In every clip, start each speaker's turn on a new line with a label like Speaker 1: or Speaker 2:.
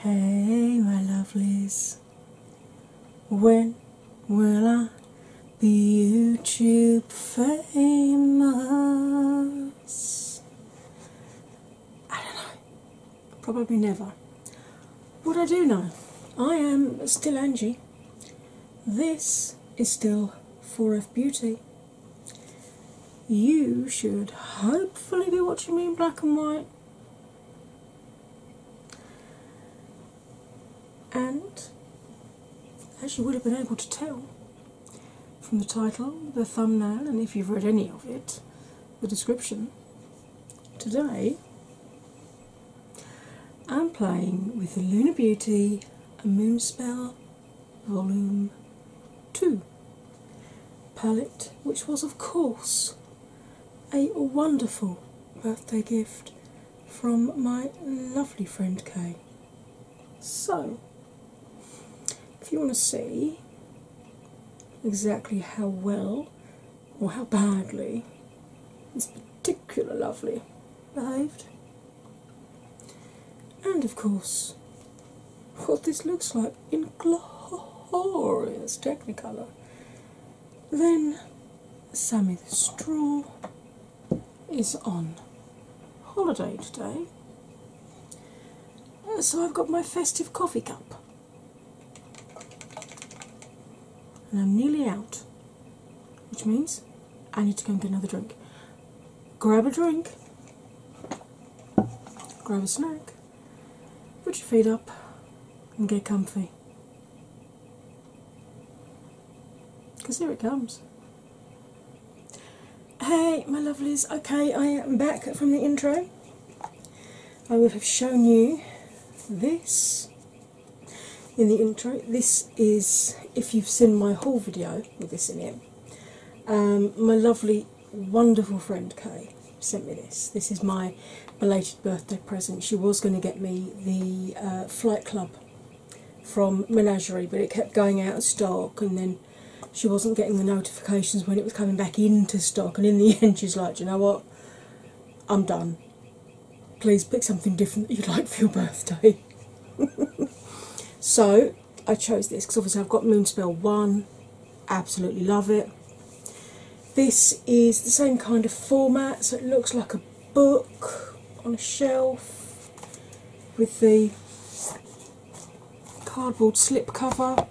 Speaker 1: Hey, my lovelies, when will I be YouTube famous? I don't know, probably never. What I do know, I am still Angie. This is still 4F Beauty. You should hopefully be watching me in black and white. And as you would have been able to tell, from the title, the thumbnail, and if you've read any of it, the description, today I'm playing with the Lunar Beauty Moonspell Volume 2 palette, which was, of course, a wonderful birthday gift from my lovely friend Kay. So, if you want to see exactly how well or how badly this particular lovely behaved, and of course, what this looks like in glorious Technicolor, then Sammy the Straw is on holiday today. Uh, so I've got my festive coffee cup. And I'm nearly out, which means I need to go and get another drink. Grab a drink, grab a snack, put your feet up, and get comfy. Because here it comes. Hey, my lovelies, okay, I am back from the intro. I will have shown you this in the intro. This is, if you've seen my haul video with this in it, um, my lovely, wonderful friend Kay sent me this. This is my belated birthday present. She was going to get me the uh, Flight Club from Menagerie, but it kept going out of stock, and then she wasn't getting the notifications when it was coming back into stock. And in the end, she's like, Do you know what? I'm done. Please pick something different that you'd like for your birthday. so I chose this because obviously I've got Moonspell 1, absolutely love it. This is the same kind of format, so it looks like a book on a shelf with the cardboard slip cover,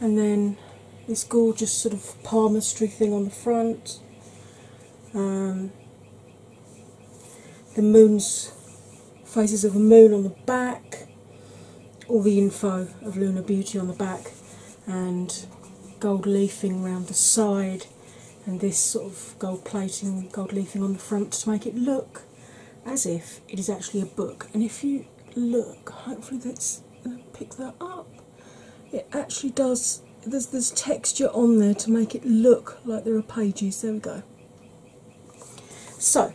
Speaker 1: and then this gorgeous sort of palmistry thing on the front. Um, the moon's faces of the moon on the back, all the info of Lunar Beauty on the back, and gold leafing round the side, and this sort of gold plating, gold leafing on the front to make it look as if it is actually a book. And if you look, hopefully that's uh, pick that up. It actually does, there's, there's texture on there to make it look like there are pages. There we go. So,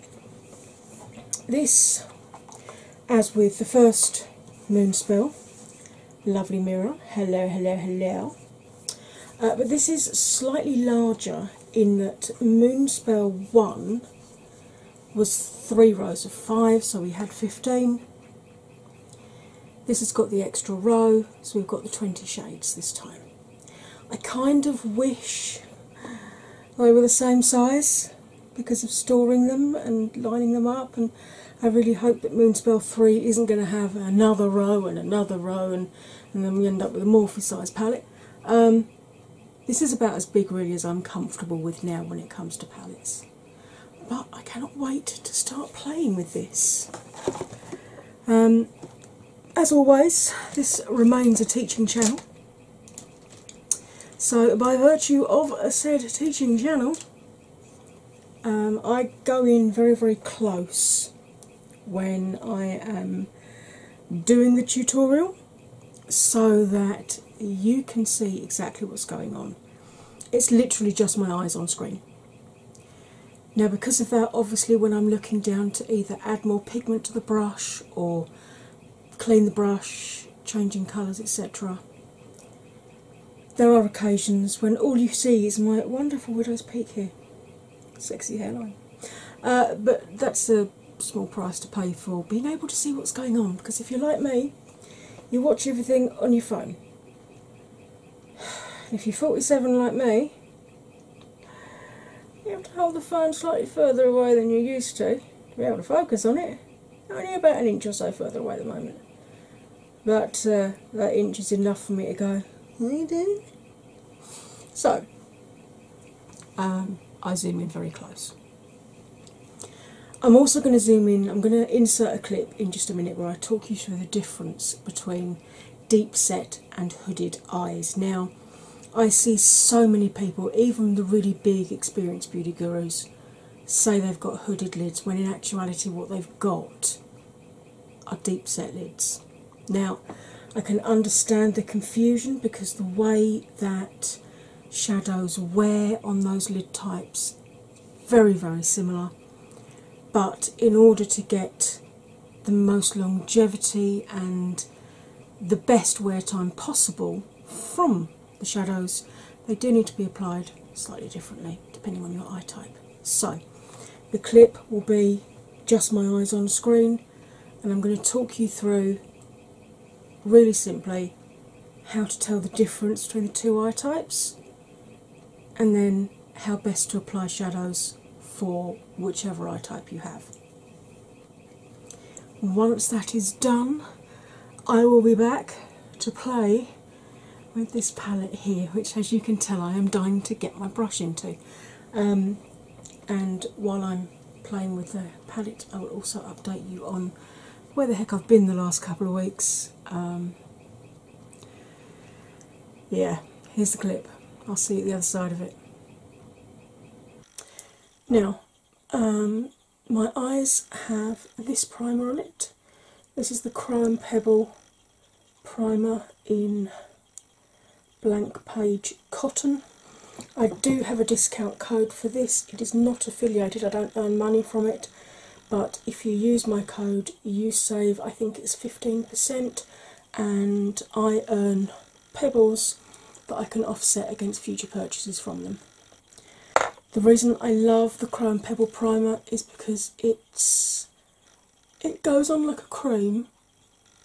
Speaker 1: this, as with the first moon spell, lovely mirror, hello, hello, hello. Uh, but this is slightly larger in that Moonspell 1 was three rows of five, so we had 15. This has got the extra row, so we've got the 20 shades this time. I kind of wish they were the same size because of storing them and lining them up and I really hope that Moonspell 3 isn't going to have another row and another row and and then we end up with a Morphe size palette. Um, this is about as big really as I'm comfortable with now when it comes to palettes. But I cannot wait to start playing with this. Um, as always, this remains a teaching channel. So, by virtue of a said teaching channel, um, I go in very, very close when I am doing the tutorial so that you can see exactly what's going on. It's literally just my eyes on screen. Now, because of that, obviously, when I'm looking down to either add more pigment to the brush or clean the brush, changing colours, etc., there are occasions when all you see is my wonderful widow's peak here sexy hairline. Uh, but that's a small price to pay for being able to see what's going on because if you're like me, you watch everything on your phone. If you're 47 like me, you have to hold the phone slightly further away than you used to to be able to focus on it. Only about an inch or so further away at the moment. But uh, that inch is enough for me to go, hey dude, so um, I zoom in very close. I'm also going to zoom in, I'm going to insert a clip in just a minute where I talk you through the difference between deep set and hooded eyes. Now, I see so many people, even the really big experienced beauty gurus, say they've got hooded lids when in actuality, what they've got are deep set lids. Now, I can understand the confusion because the way that shadows wear on those lid types very very similar but in order to get the most longevity and the best wear time possible from the shadows they do need to be applied slightly differently depending on your eye type so the clip will be just my eyes on screen and I'm going to talk you through really simply how to tell the difference between the two eye types and then how best to apply shadows for whichever eye type you have. Once that is done, I will be back to play with this palette here, which, as you can tell, I am dying to get my brush into. Um, and while I'm playing with the palette, I will also update you on where the heck I've been the last couple of weeks. Um, yeah, here's the clip. I'll see you the other side of it. Now, um, my eyes have this primer on it. This is the Crime Pebble primer in Blank Page Cotton. I do have a discount code for this. It is not affiliated, I don't earn money from it, but if you use my code, you save, I think it's 15%, and I earn pebbles that I can offset against future purchases from them. The reason I love the Chrome Pebble Primer is because it's it goes on like a cream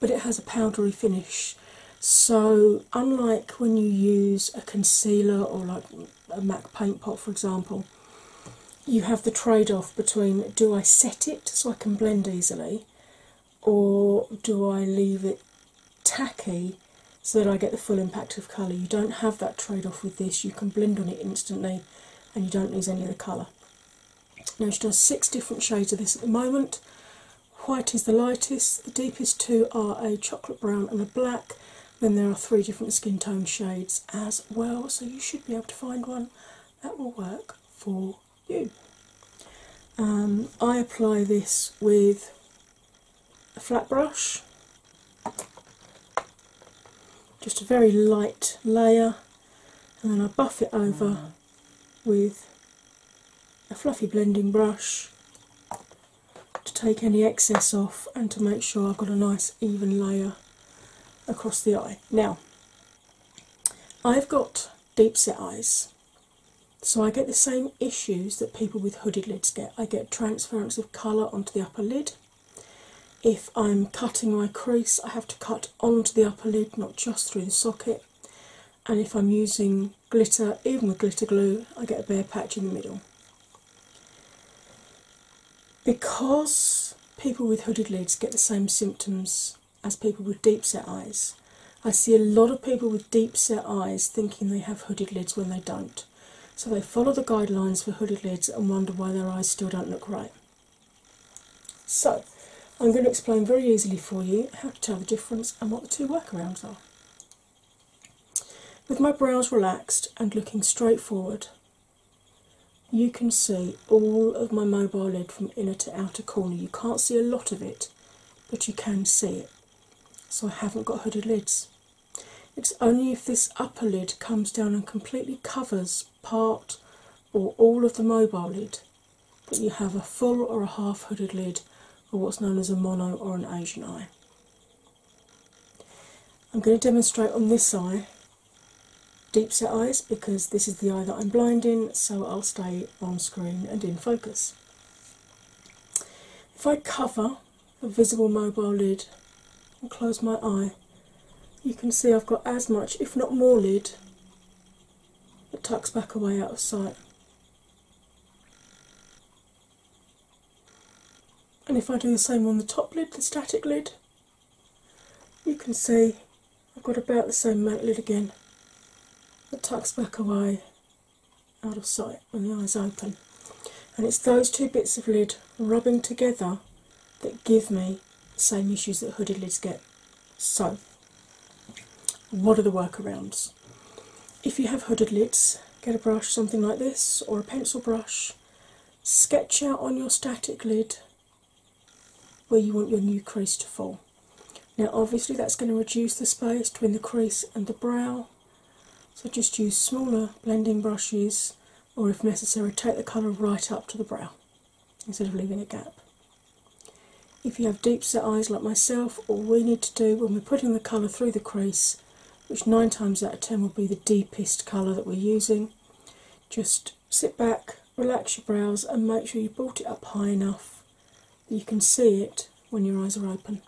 Speaker 1: but it has a powdery finish. So, unlike when you use a concealer or like a MAC paint pot, for example, you have the trade off between do I set it so I can blend easily, or do I leave it tacky so that I get the full impact of colour? You don't have that trade off with this, you can blend on it instantly and you don't lose any of the colour. Now, she does six different shades of this at the moment. White is the lightest, the deepest two are a chocolate brown and a black. Then there are three different skin tone shades as well, so you should be able to find one that will work for you. Um, I apply this with a flat brush, just a very light layer, and then I buff it over with a fluffy blending brush to take any excess off and to make sure I've got a nice even layer across the eye. Now, I've got deep set eyes, so I get the same issues that people with hooded lids get. I get transference of colour onto the upper lid. If I'm cutting my crease, I have to cut onto the upper lid, not just through the socket and if I'm using glitter, even with glitter glue, I get a bare patch in the middle. Because people with hooded lids get the same symptoms as people with deep set eyes, I see a lot of people with deep set eyes thinking they have hooded lids when they don't. So they follow the guidelines for hooded lids and wonder why their eyes still don't look right. So, I'm going to explain very easily for you how to tell the difference and what the two workarounds are. With my brows relaxed and looking straight forward, you can see all of my mobile lid from inner to outer corner. You can't see a lot of it, but you can see it. So I haven't got hooded lids. It's only if this upper lid comes down and completely covers part or all of the mobile lid that you have a full or a half hooded lid or what's known as a mono or an Asian eye. I'm going to demonstrate on this eye deep set eyes because this is the eye that I'm blind in, so I'll stay on screen and in focus. If I cover the visible mobile lid and close my eye, you can see I've got as much, if not more, lid that tucks back away out of sight. And if I do the same on the top lid, the static lid, you can see I've got about the same mount lid again It tucks back away out of sight when the eyes open. And it's those two bits of lid rubbing together that give me the same issues that hooded lids get. So what are the workarounds? If you have hooded lids, get a brush, something like this, or a pencil brush, sketch out on your static lid where you want your new crease to fall. Now, obviously, that's going to reduce the space between the crease and the brow, so just use smaller blending brushes, or if necessary, take the colour right up to the brow instead of leaving a gap. If you have deep set eyes like myself, all we need to do when we're putting the colour through the crease, which nine times out of ten will be the deepest colour that we're using, just sit back, relax your brows, and make sure you brought it up high enough that you can see it when your eyes are open.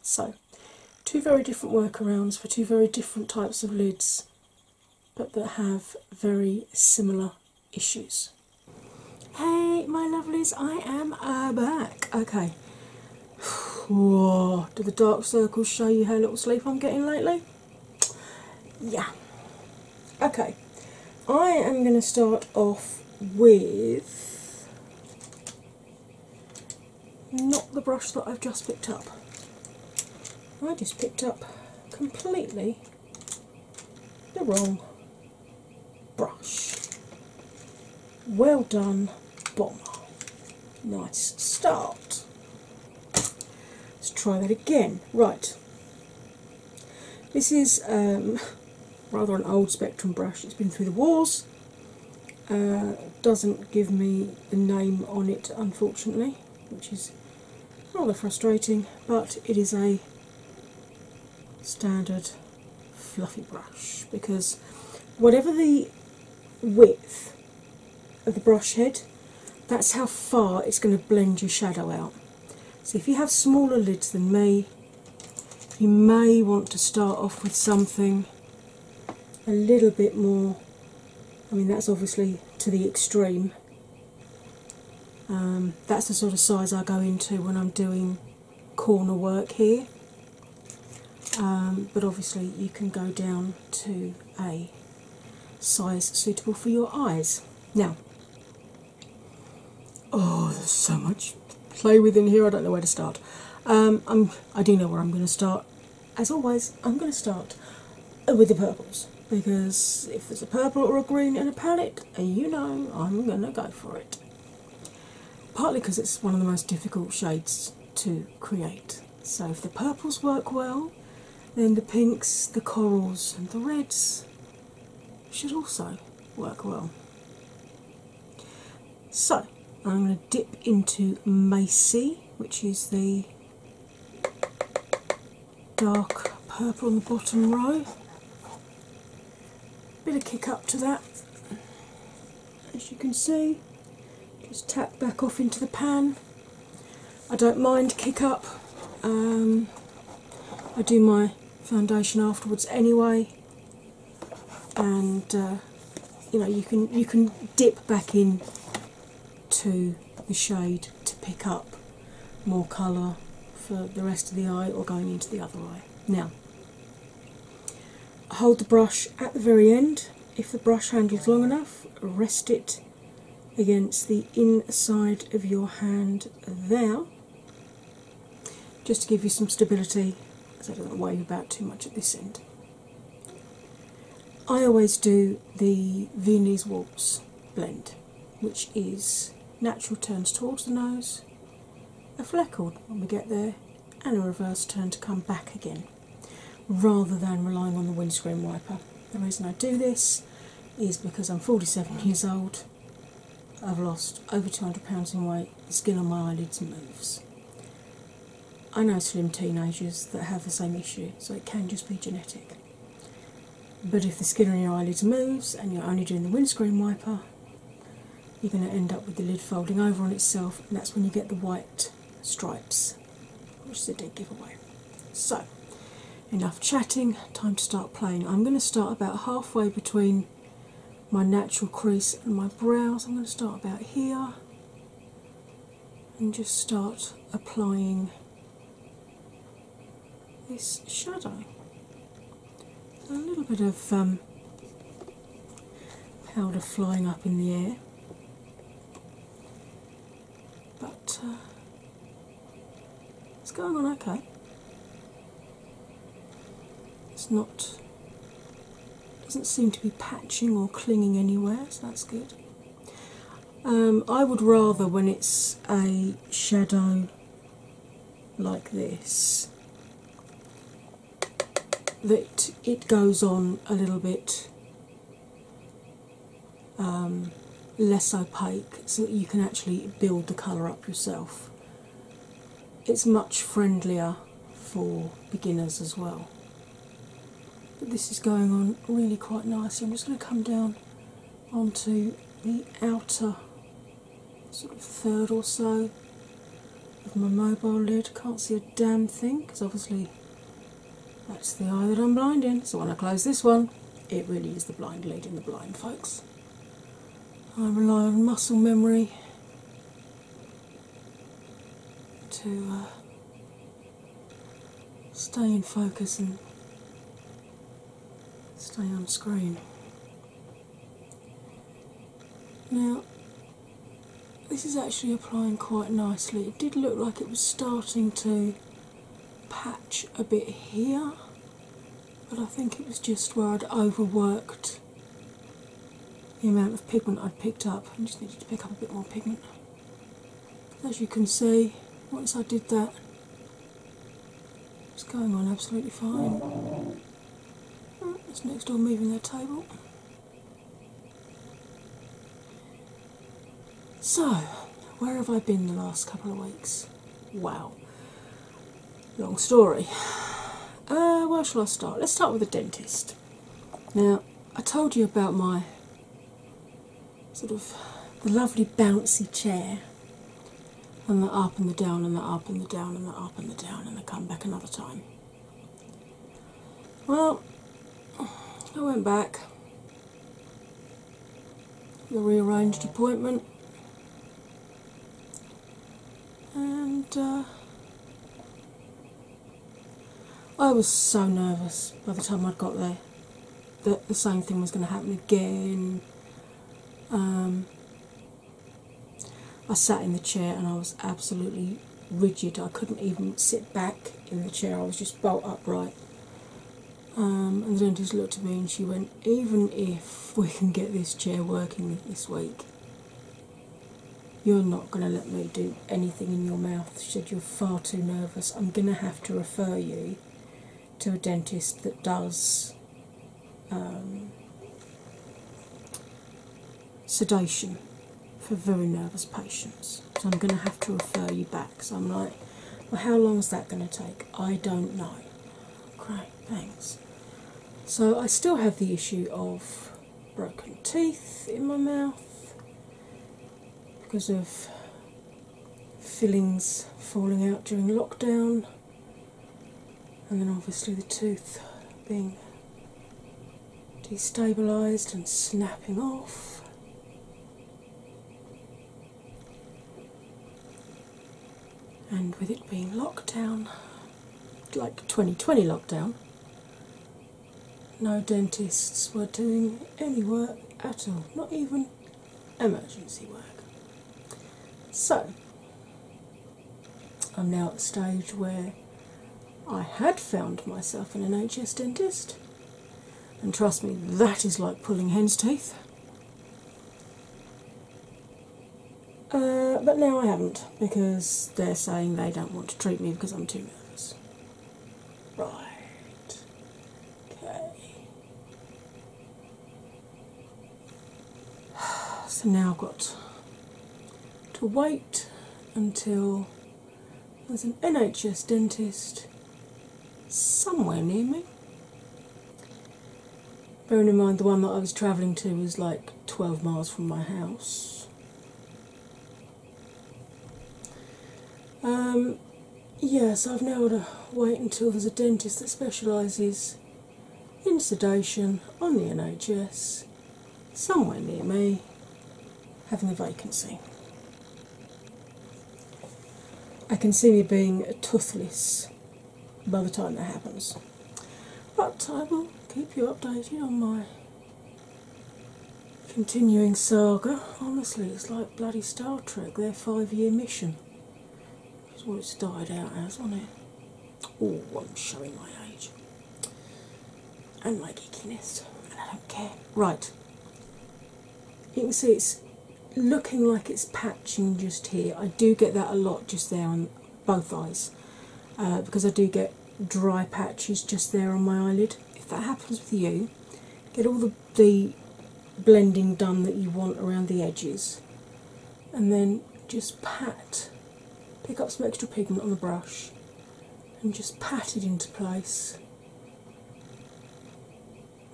Speaker 1: So, two very different workarounds for two very different types of lids, but that have very similar issues. Hey, my lovelies, I am uh, back. Okay. do the dark circles show you how little sleep I'm getting lately? Yeah. Okay, I am going to start off with not the brush that I've just picked up. I just picked up completely the wrong brush. Well done, bomber. Nice start. Let's try that again. Right. This is um, rather an old Spectrum brush. It's been through the wars. Uh, doesn't give me the name on it, unfortunately, which is rather frustrating. But it is a standard fluffy brush because whatever the width of the brush head, that's how far it's going to blend your shadow out. So, if you have smaller lids than me, you may want to start off with something a little bit more. I mean, that's obviously to the extreme. Um, that's the sort of size I go into when I'm doing corner work here, um, but obviously you can go down to a size suitable for your eyes. Now, oh, there's so much play within here. I don't know where to start. Um, I'm, I do know where I'm going to start. As always, I'm going to start with the purples because if there's a purple or a green in a palette, you know I'm going to go for it partly because it's one of the most difficult shades to create. So, if the purples work well, then the pinks, the corals, and the reds should also work well. So, I'm going to dip into Macy, which is the dark purple on the bottom row, bit of kick up to that. As you can see, just tap back off into the pan. I don't mind kick up. Um, I do my foundation afterwards anyway, and uh, you know you can you can dip back in to the shade to pick up more colour for the rest of the eye or going into the other eye. Now, Hold the brush at the very end if the brush handle is long enough, rest it against the inside of your hand there, just to give you some stability because it don't wave about too much at this end. I always do the Viennese Waltz blend, which is natural turns towards the nose, a fleckled when we get there, and a reverse turn to come back again rather than relying on the windscreen wiper. The reason I do this is because I'm 47 years old, I've lost over 200 pounds in weight, the skin on my eyelids moves. I know slim teenagers that have the same issue, so it can just be genetic. But if the skin on your eyelids moves and you're only doing the windscreen wiper, you're going to end up with the lid folding over on itself, and that's when you get the white stripes, which is a dead giveaway. So, enough chatting, time to start playing. I'm going to start about halfway between my natural crease and my brows. I'm going to start about here and just start applying this shadow a little bit of um, powder flying up in the air, but uh, it's going on okay. It's not doesn't seem to be patching or clinging anywhere, so that's good. Um, I would rather when it's a shadow like this that it goes on a little bit um, less opaque so that you can actually build the colour up yourself. It's much friendlier for beginners as well. But this is going on really quite nicely. I'm just going to come down onto the outer sort of third or so With my mobile lid. Can't see a damn thing because obviously that's the eye that I'm blind in. So when I close this one, it really is the blind leading the blind, folks. I rely on muscle memory to uh, stay in focus and stay on screen. Now, this is actually applying quite nicely. It did look like it was starting to patch a bit here, but I think it was just where I'd overworked the amount of pigment I'd picked up. I just needed to pick up a bit more pigment. As you can see, once I did that, it's going on absolutely fine. It's next door moving their table. So, where have I been the last couple of weeks? Wow, long story. Uh, where shall I start? Let's start with the dentist. Now, I told you about my sort of the lovely bouncy chair, and the up and the down, and the up and the down, and the up and the down, and the come back another time. Well, I went back, the rearranged appointment, and uh, I was so nervous by the time I'd got there that the same thing was going to happen again. Um, I sat in the chair and I was absolutely rigid. I couldn't even sit back in the chair, I was just bolt upright. Um, and the dentist looked at me and she went, Even if we can get this chair working this week, you're not going to let me do anything in your mouth. She said, You're far too nervous. I'm going to have to refer you to a dentist that does um, sedation for very nervous patients. So I'm going to have to refer you back. So I'm like, well, how long is that going to take? I don't know. Great, thanks. So I still have the issue of broken teeth in my mouth because of fillings falling out during lockdown and then obviously the tooth being destabilized and snapping off. And with it being locked down, like 2020 lockdown, no dentists were doing any work at all, not even emergency work. So I'm now at the stage where I had found myself in an NHS dentist, and trust me, that is like pulling hen's teeth. Uh, but now I haven't because they're saying they don't want to treat me because I'm too nervous. Right. Okay. So now I've got to wait until there's an NHS dentist somewhere near me. Bearing in mind the one that I was travelling to was like 12 miles from my house. Um, yes, I've now got to wait until there's a dentist that specialises in sedation on the NHS somewhere near me having a vacancy. I can see me being toothless by the time that happens. But I will keep you updated on my continuing saga. Honestly, it's like bloody Star Trek, their five year mission. It's what it's died out as, wasn't it? Oh, I'm showing my age and my geekiness, and I don't care. Right, you can see it's looking like it's patching just here. I do get that a lot just there on both eyes uh, because I do get dry patches just there on my eyelid. If that happens with you, get all the, the blending done that you want around the edges and then just pat pick up some extra pigment on the brush and just pat it into place.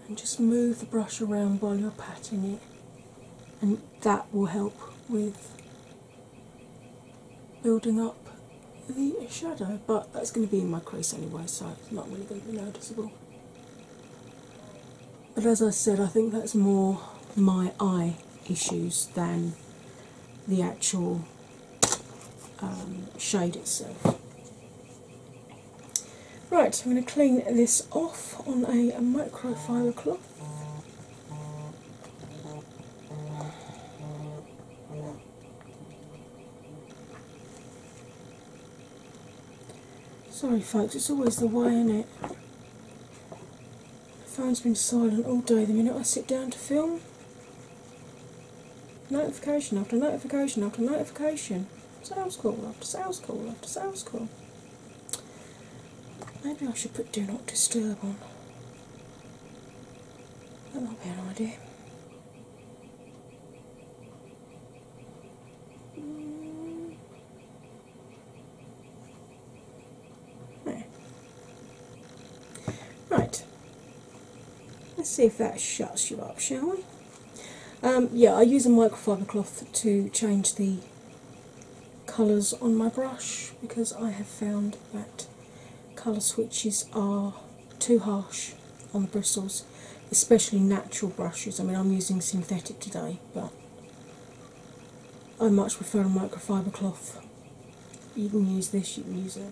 Speaker 1: And just move the brush around while you're patting it, and that will help with building up the shadow. But that's going to be in my crease anyway, so it's not really going to be noticeable. But as I said, I think that's more my eye issues than the actual um, shade itself. Right, I'm going to clean this off on a, a microfiber cloth. Sorry folks, it's always the way in it. The phone's been silent all day the minute I sit down to film. Notification after notification after notification. Sales call after sales call after sales call. Maybe I should put do not disturb on. That might be an idea. Mm. There. Right. Let's see if that shuts you up, shall we? Um, yeah, I use a microfiber cloth to change the colours on my brush because I have found that colour switches are too harsh on the bristles, especially natural brushes. I mean, I'm using synthetic today, but I much prefer a microfiber cloth you can use this, you can use a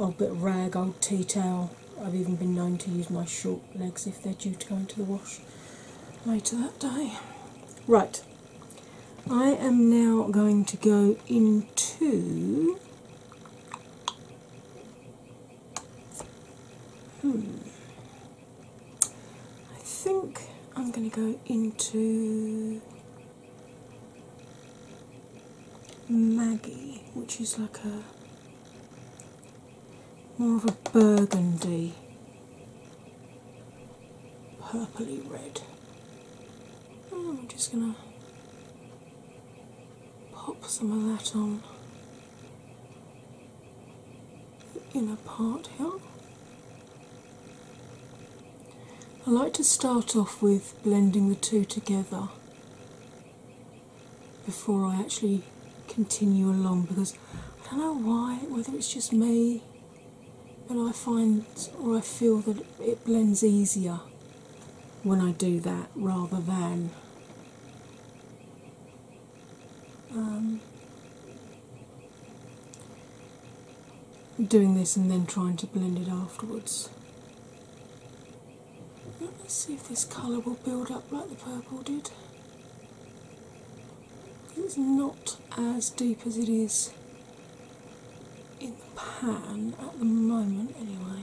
Speaker 1: old bit of rag, old tea towel. I've even been known to use my short legs if they're due to go into the wash later that day. Right, I am now going to go into. Hmm. I think I'm going to go into Maggie, which is like a more of a burgundy purply red. Hmm, I'm just going to pop some of that on the inner part here. I like to start off with blending the two together before I actually continue along because I don't know why, whether it's just me, but I find or I feel that it blends easier when I do that rather than. Um, doing this and then trying to blend it afterwards. Let me see if this colour will build up like the purple did. It's not as deep as it is in the pan at the moment, anyway.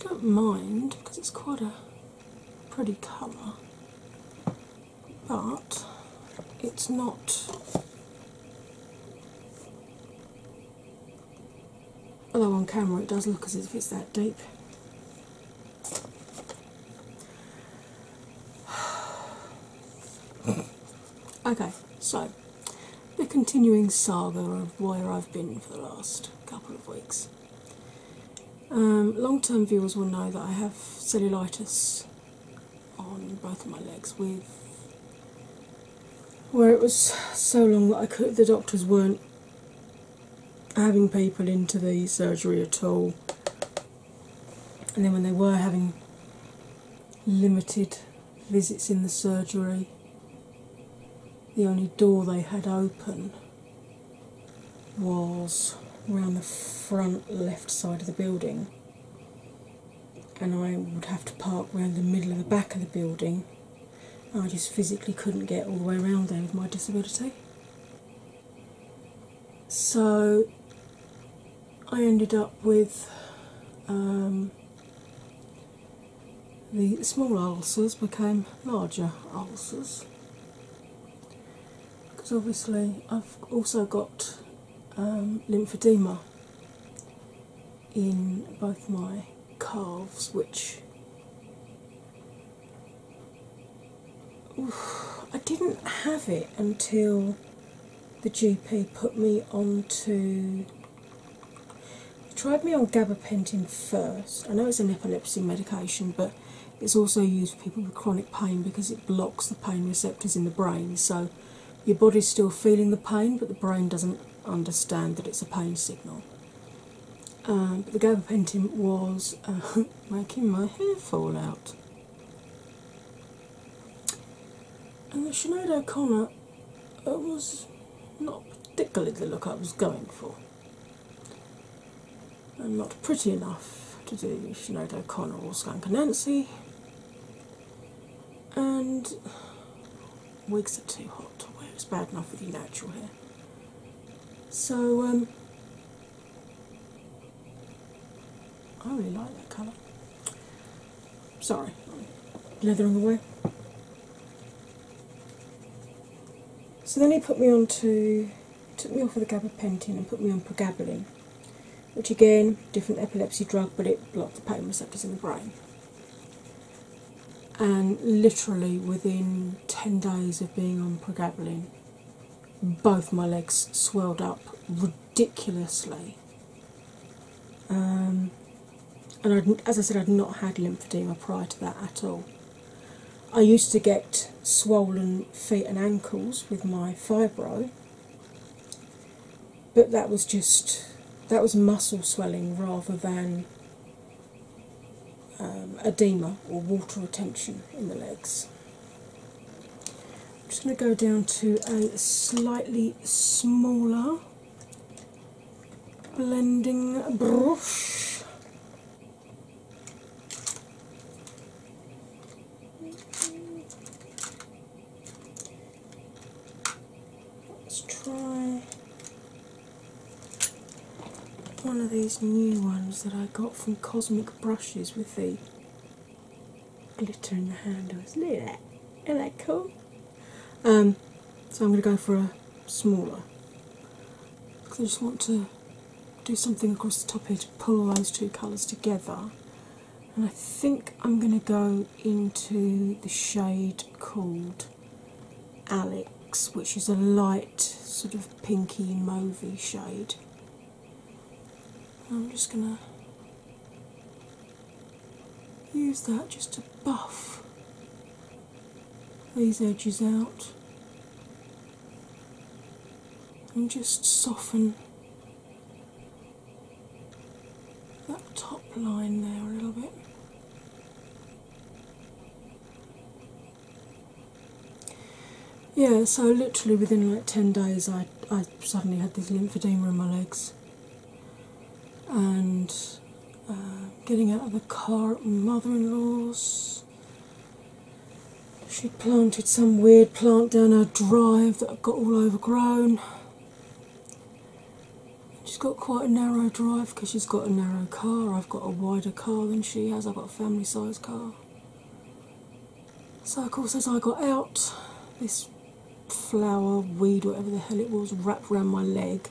Speaker 1: don't mind because it's quite a pretty colour but it's not. Although on camera it does look as if it's that deep. okay, so the continuing saga of where I've been for the last couple of weeks. Um, long term viewers will know that I have cellulitis on both of my legs where it was so long that the doctors weren't having people into the surgery at all. And then when they were having limited visits in the surgery, the only door they had open was around the front left side of the building, and I would have to park around the middle of the back of the building. I just physically couldn't get all the way around there with my disability. So I ended up with um, the small ulcers became larger ulcers because obviously I've also got um, lymphedema in both my calves, which I didn't have it until the GP put me onto. Tried me on gabapentin first. I know it's an epilepsy medication, but it's also used for people with chronic pain because it blocks the pain receptors in the brain. So your body's still feeling the pain, but the brain doesn't understand that it's a pain signal. Um, but the gabapentin was uh, making my hair fall out. And the Sinead O'Connor uh, was not particularly the look I was going for. I'm not pretty enough to do Sinead O'Connor or Skankanancy, and wigs are too hot to wear. It's bad enough with your natural hair. So, um, I really like that colour. Sorry, leathering away. So then he put me on to took me off of the gabapentin and put me on pregabalin, which again, different epilepsy drug, but it blocked the pain receptors in the brain. And literally within 10 days of being on pregabalin, both my legs swelled up ridiculously. Um, and as I said, I'd not had lymphedema prior to that at all. I used to get swollen feet and ankles with my fibro, but that was just that was muscle swelling rather than um, edema or water retention in the legs. I'm just going to go down to a slightly smaller blending brush Let's try one of these new ones that I got from Cosmic Brushes with the glitter in the handles. Look at that. Isn't cool? Um, so I'm going to go for a smaller I just want to do something across the top here to pull those two colours together. And I think I'm going to go into the shade called Alex, which is a light, sort of pinky, mauvey shade. I'm just going to use that just to buff these edges out and just soften that top line there a little bit. Yeah, so literally within like 10 days, I, I suddenly had this lymphedema in my legs. And uh, getting out of the car at my mother in law's, she planted some weird plant down her drive that got all overgrown. She's got quite a narrow drive because she's got a narrow car. I've got a wider car than she has. I've got a family sized car. So, of course, as I got out, this flower, weed, whatever the hell it was, wrapped around my leg.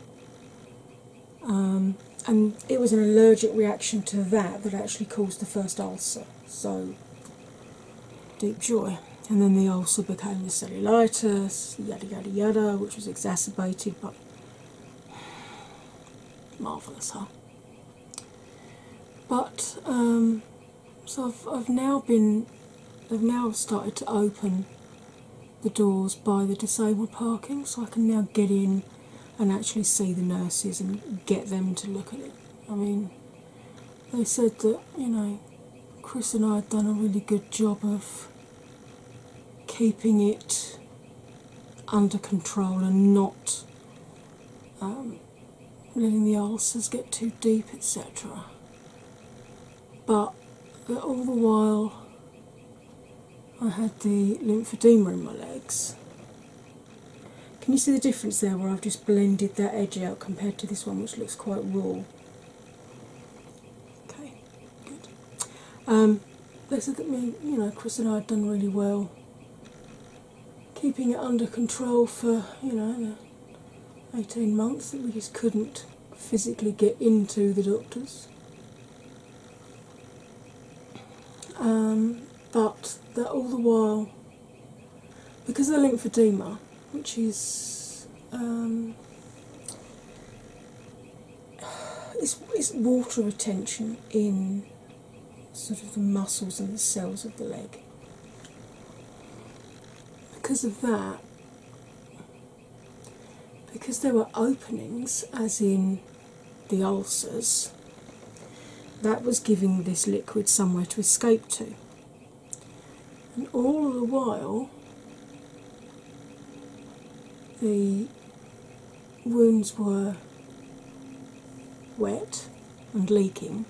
Speaker 1: Um, and it was an allergic reaction to that that actually caused the first ulcer. So deep joy. And then the ulcer became the cellulitis, yada yada yada, which was exacerbated, but marvellous, huh? But um, so I've now been, I've now started to open the doors by the disabled parking, so I can now get in and actually see the nurses and get them to look at it. I mean, they said that, you know, Chris and I had done a really good job of keeping it under control and not um, letting the ulcers get too deep, etc. But all the while I had the lymphedema in my legs, can you see the difference there where I've just blended that edge out compared to this one, which looks quite raw? Okay, good. Um, let's me. You know, Chris and I had done really well keeping it under control for, you know, 18 months that we just couldn't physically get into the doctors. Um, but that all the while because of the lymphedema, which is um, it's water retention in sort of the muscles and the cells of the leg. Because of that, because there were openings, as in the ulcers, that was giving this liquid somewhere to escape to. And all the while, the wounds were wet and leaking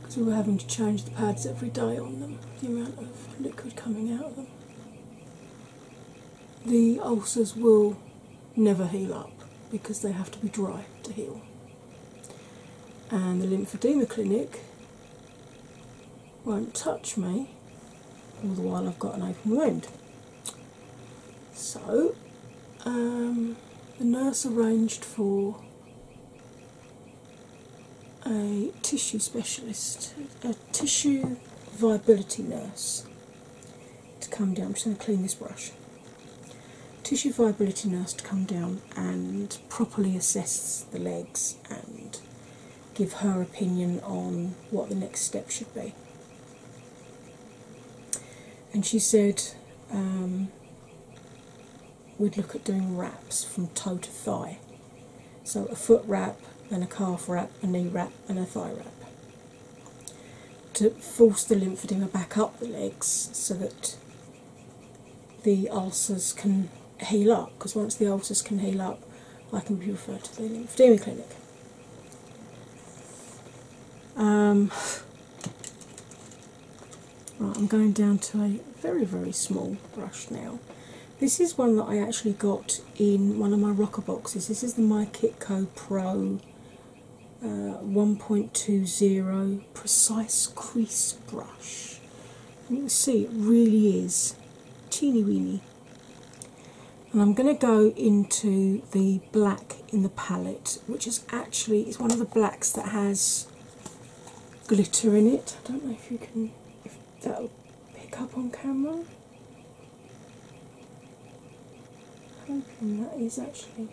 Speaker 1: because we were having to change the pads every day on them, the amount of liquid coming out of them. The ulcers will never heal up because they have to be dry to heal and the Lymphedema Clinic won't touch me all the while I've got an open wound. So um, the nurse arranged for a tissue specialist, a tissue viability nurse to come down. I'm just going to clean this brush. Tissue Viability Nurse to come down and properly assess the legs and give her opinion on what the next step should be. And she said um, we'd look at doing wraps from toe to thigh. So a foot wrap, then a calf wrap, a knee wrap, and a thigh wrap. To force the lymphedema back up the legs so that the ulcers can heal up because once the ulcers can heal up, I can be referred to the lymphedema clinic. Um, right, I'm going down to a very, very small brush now. This is one that I actually got in one of my rocker boxes. This is the My Pro uh, 1.20 precise crease brush. you can see it really is teeny weeny. And I'm going to go into the black in the palette, which is actually it's one of the blacks that has glitter in it. I don't know if you can if that'll pick up on camera. I'm hoping that is actually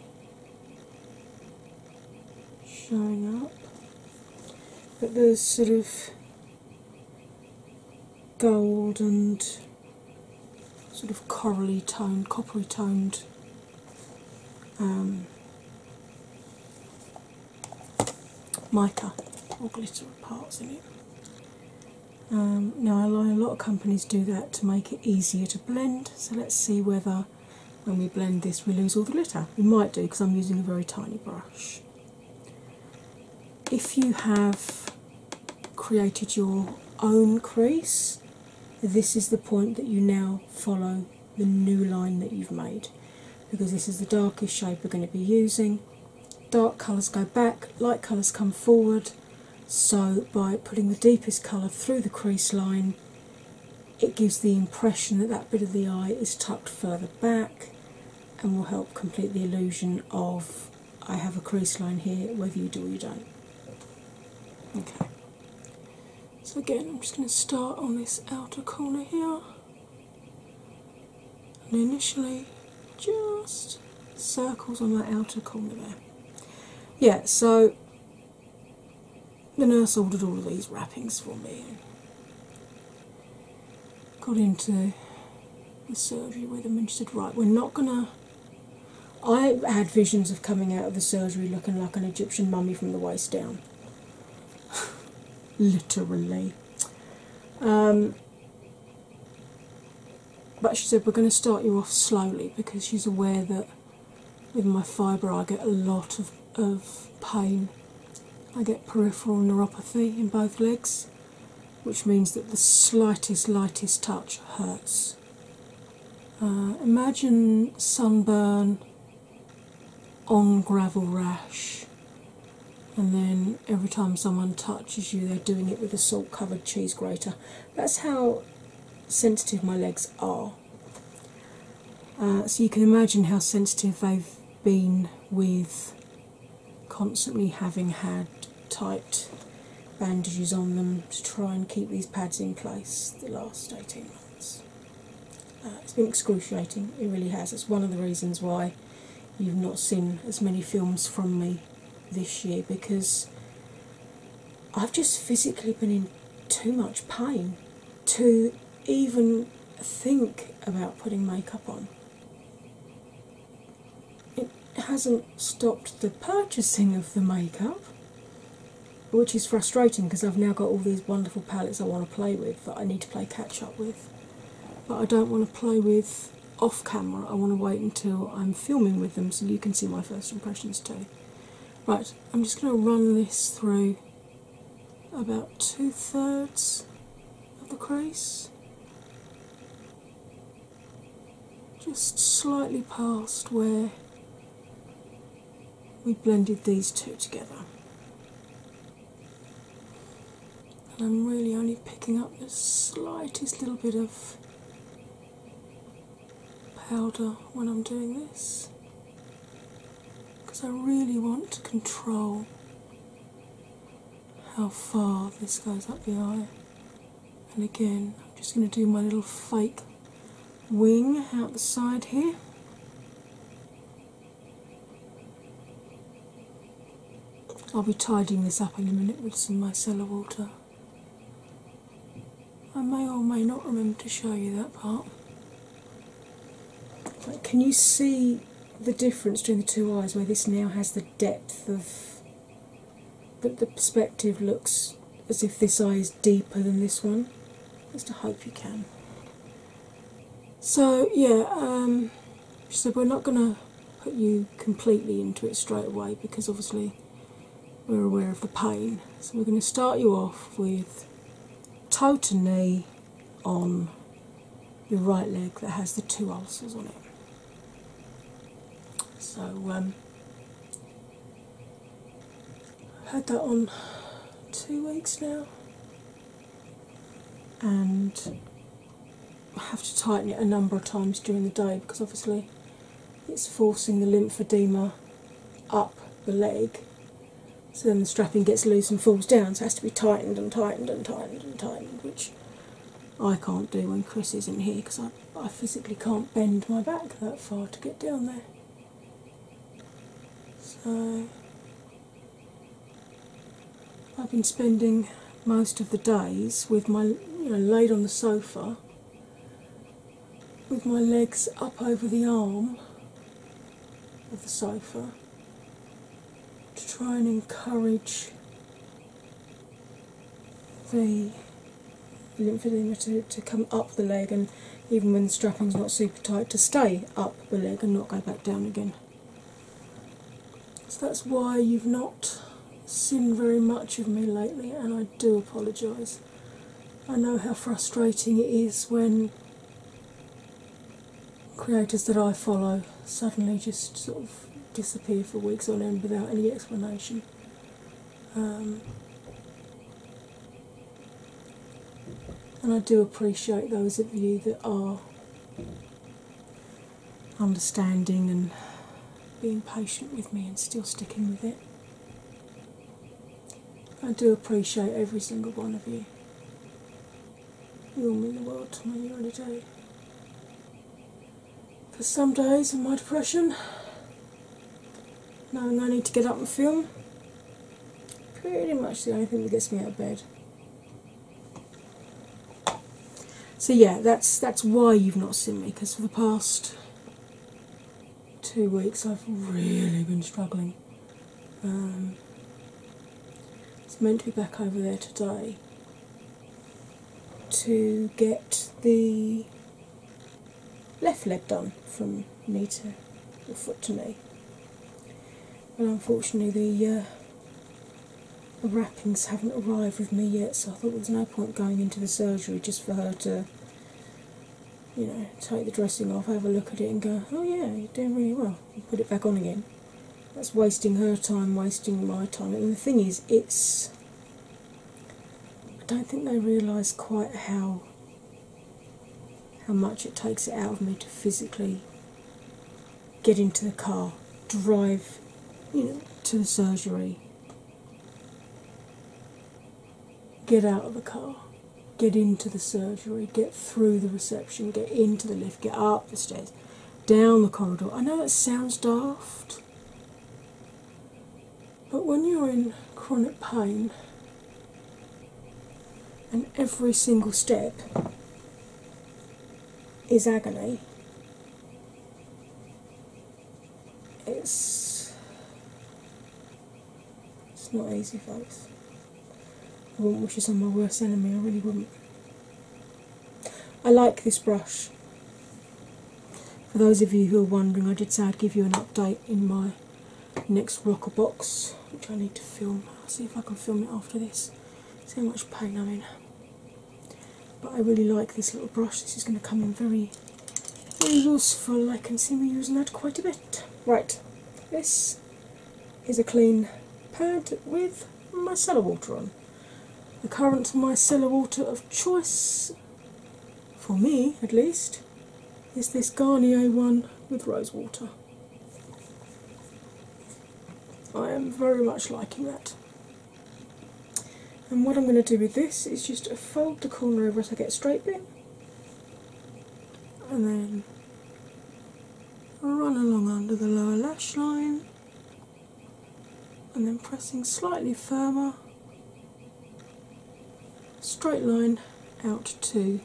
Speaker 1: showing up. But there's sort of gold and sort of corally toned, coppery toned um, mica or glitter parts in it. Um, now, a lot of companies do that to make it easier to blend, so let's see whether when we blend this, we lose all the glitter. We might do because I'm using a very tiny brush. If you have created your own crease, this is the point that you now follow the new line that you've made because this is the darkest shade we're going to be using. Dark colours go back, light colours come forward. So, by putting the deepest colour through the crease line, it gives the impression that that bit of the eye is tucked further back and will help complete the illusion of I have a crease line here, whether you do or you don't. Okay, so again, I'm just going to start on this outer corner here and initially just circles on that outer corner there. Yeah, so the nurse ordered all of these wrappings for me got into the surgery where the nurse said, Right, we're not gonna. I had visions of coming out of the surgery looking like an Egyptian mummy from the waist down. Literally. Um, but she said, We're going to start you off slowly because she's aware that with my fibro, I get a lot of, of pain. I get peripheral neuropathy in both legs, which means that the slightest, lightest touch hurts. Uh, imagine sunburn on gravel rash, and then every time someone touches you, they're doing it with a salt covered cheese grater. That's how sensitive my legs are. Uh, so you can imagine how sensitive I've been with constantly having had tight bandages on them to try and keep these pads in place the last 18 months. Uh, it's been excruciating, it really has. It's one of the reasons why you've not seen as many films from me this year because I've just physically been in too much pain to even think about putting makeup on. It hasn't stopped the purchasing of the makeup, which is frustrating because I've now got all these wonderful palettes I want to play with that I need to play catch up with, but I don't want to play with off camera. I want to wait until I'm filming with them so you can see my first impressions too. Right, I'm just going to run this through about two thirds of the crease, just slightly past where we blended these two together. And I'm really only picking up the slightest little bit of powder when I'm doing this because I really want to control how far this goes up the eye. And again, I'm just going to do my little fake wing out the side here. I'll be tidying this up in a minute with some mycelia water. I may or may not remember to show you that part can you see the difference between the two eyes where this now has the depth of that the perspective looks as if this eye is deeper than this one? Just to hope you can. So yeah, um, so we're not going to put you completely into it straight away because obviously we're aware of the pain. So we're going to start you off with toe to knee on your right leg that has the two ulcers on it. So I've um, had that on two weeks now, and I have to tighten it a number of times during the day because obviously it's forcing the lymphedema up the leg so then the strapping gets loose and falls down, so it has to be tightened and tightened and tightened and tightened, which I can't do when Chris is not here because I, I physically can't bend my back that far to get down there. So I've been spending most of the days with my you know laid on the sofa with my legs up over the arm of the sofa to try and encourage the lymphedema to, to come up the leg and even when the strapping's not super tight to stay up the leg and not go back down again. So that's why you've not seen very much of me lately and I do apologise. I know how frustrating it is when creators that I follow suddenly just sort of disappear for weeks on end without any explanation. Um, and I do appreciate those of you that are understanding and being patient with me and still sticking with it. I do appreciate every single one of you. You all mean the world to me every day. For some days in my depression, knowing I need to get up and film, pretty much the only thing that gets me out of bed. So yeah, that's that's why you've not seen me because for the past two weeks I've really been struggling. Um, it's meant to be back over there today to get the left leg done from knee to foot to knee. But unfortunately, the, uh, the wrappings haven't arrived with me yet, so I thought there was no point going into the surgery just for her to you know, take the dressing off, have a look at it, and go, oh yeah, you're doing really well. You put it back on again. That's wasting her time, wasting my time. And the thing is, it's. I don't think they realise quite how how much it takes out of me to physically get into the car, drive, you know, to the surgery, get out of the car, get into the surgery, get through the reception, get into the lift, get up the stairs, down the corridor. I know that sounds daft, but when you're in chronic pain and every single step is agony, it's it's not easy, folks. I wouldn't wish this on my worst enemy, I really wouldn't. I like this brush. For those of you who are wondering, I did say I'd give you an update in my next rocker box, which I need to film. see if I can film it after this. See how much pain I'm in. But I really like this little brush. This is going to come in very useful. I can see me using that quite a bit. Right, this this is a clean pad with micellar water on. The current micellar water of choice, for me at least, is this Garnier one with rose water. I am very much liking that. And what I'm going to do with this is just fold the corner over as I get straight bit and then run along under the lower lash line and then pressing slightly firmer, straight line out to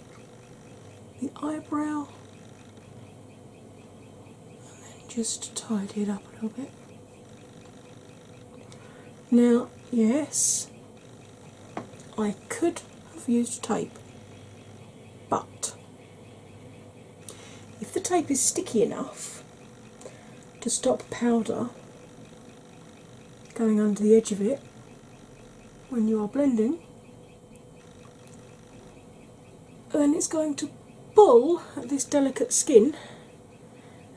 Speaker 1: the eyebrow, and then just tidy it up a little bit. Now, yes, I could I've used tape. But if the tape is sticky enough to stop powder going under the edge of it when you are blending, then it's going to pull at this delicate skin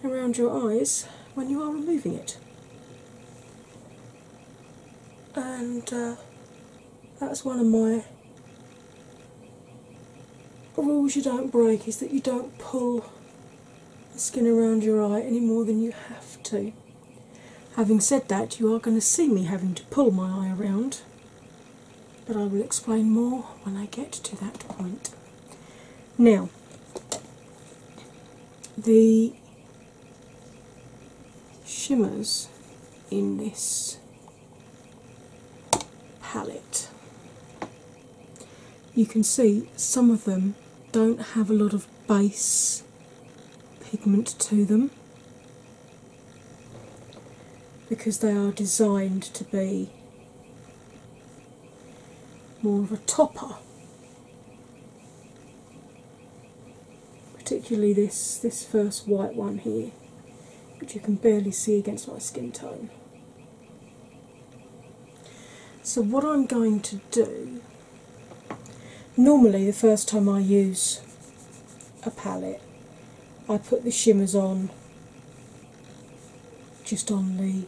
Speaker 1: around your eyes when you are removing it. And uh, that's one of my rules you don't break is that you don't pull the skin around your eye any more than you have to. Having said that, you are going to see me having to pull my eye around, but I will explain more when I get to that point. Now, the shimmers in this palette. You can see some of them don't have a lot of base pigment to them because they are designed to be more of a topper particularly this this first white one here, which you can barely see against my skin tone. So what I'm going to do normally the first time I use a palette I put the shimmers on just on the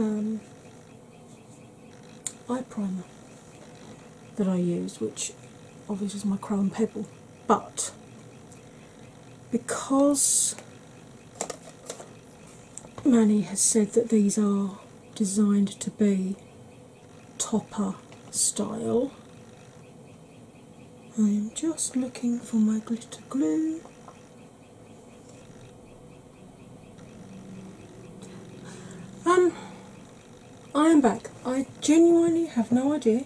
Speaker 1: um, eye primer that I use, which obviously is my chrome Pebble, but because Manny has said that these are designed to be topper style. I am just looking for my glitter glue. Um, I am back. I genuinely have no idea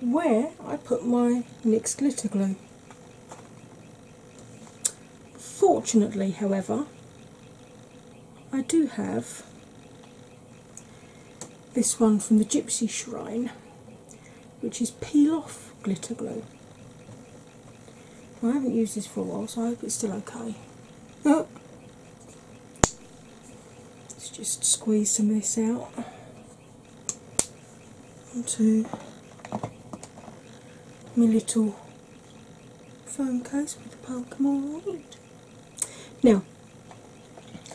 Speaker 1: where I put my NYX glitter glue. Fortunately, however, I do have this one from the Gypsy Shrine, which is peel off glitter glue. I haven't used this for a while, so I hope it's still okay. Oh, Let's just squeeze some of this out onto my little phone case with the Pokemon on it. Now,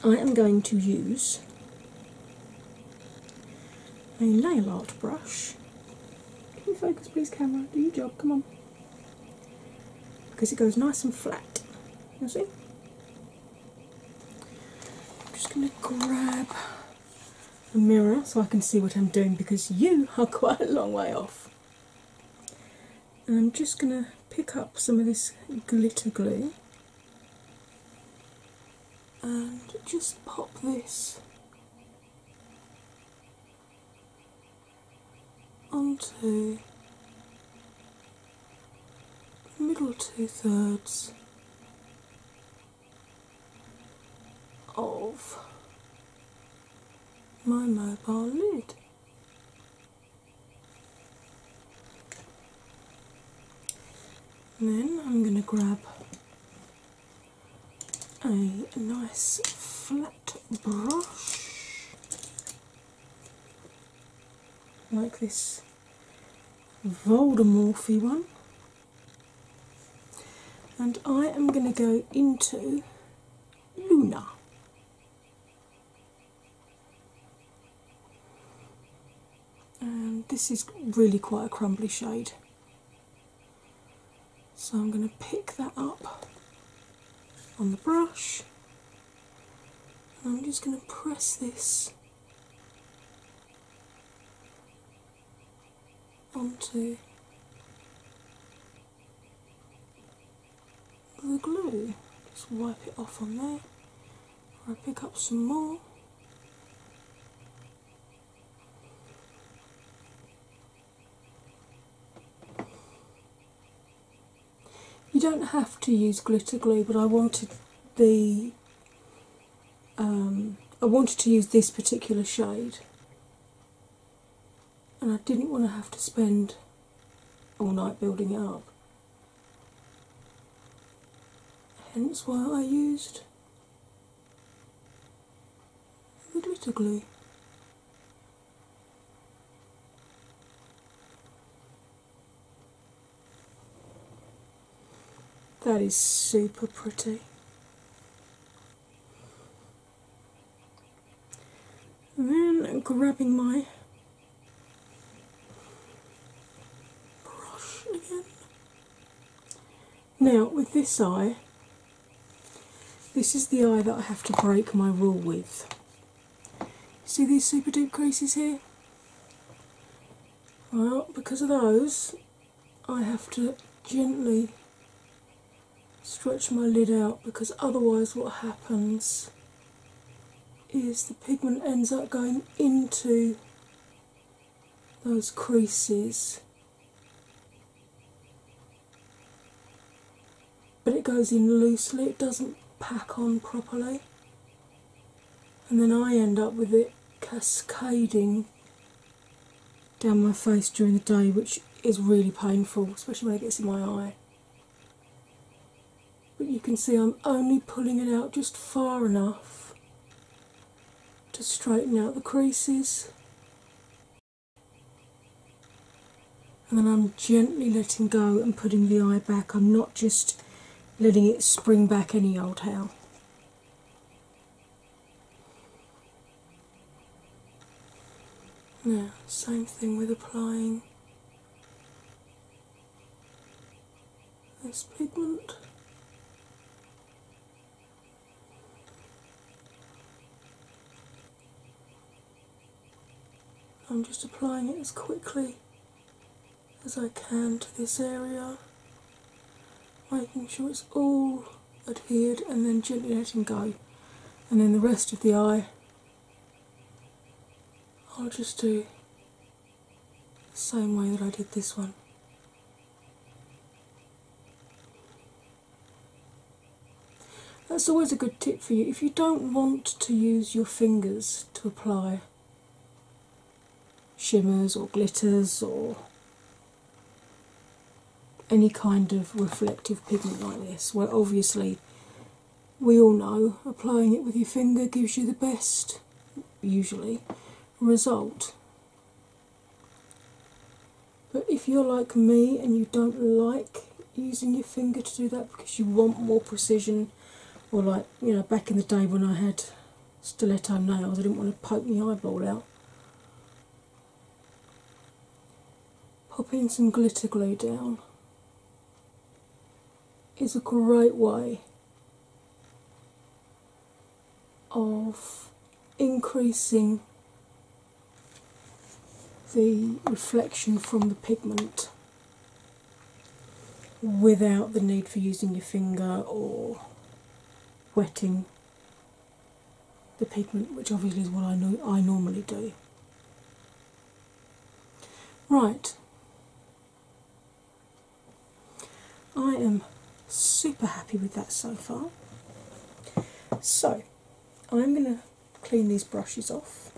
Speaker 1: I am going to use a nail art brush. Can you focus, please, camera? Do your job, come on because it goes nice and flat. You see? I'm just going to grab a mirror so I can see what I'm doing because you are quite a long way off. And I'm just going to pick up some of this glitter glue and just pop this onto the middle two thirds of my mobile lid. And then I'm going to grab a nice flat brush like this Voldemorphy one, and I am going to go into Luna. And this is really quite a crumbly shade. So I'm going to pick that up on the brush and I'm just going to press this onto the glue. Just wipe it off on there. Or I pick up some more. You don't have to use glitter glue, but I wanted the um, I wanted to use this particular shade, and I didn't want to have to spend all night building it up. Hence why I used glitter glue. That is super pretty. then grabbing my brush again. Now, with this eye, this is the eye that I have to break my rule with. See these super deep creases here? Well, because of those, I have to gently stretch my lid out because otherwise, what happens is the pigment ends up going into those creases but it goes in loosely, it doesn't pack on properly, and then I end up with it cascading down my face during the day, which is really painful, especially when it gets in my eye. But you can see I'm only pulling it out just far enough to straighten out the creases and then I'm gently letting go and putting the eye back. I'm not just letting it spring back any old how. Now, same thing with applying this pigment. I'm just applying it as quickly as I can to this area, making sure it's all adhered and then gently letting go. And then the rest of the eye, I'll just do the same way that I did this one. That's always a good tip for you if you don't want to use your fingers to apply shimmers or glitters or any kind of reflective pigment like this. Well, obviously, we all know applying it with your finger gives you the best, usually, result. But if you're like me and you don't like using your finger to do that because you want more precision. Or, like, you know, back in the day when I had stiletto nails, I didn't want to poke my eyeball out. Pop in some glitter glue down is a great way of increasing the reflection from the pigment without the need for using your finger or wetting the pigment, which obviously is what I normally do. Right. I am super happy with that so far. So, I'm going to clean these brushes off,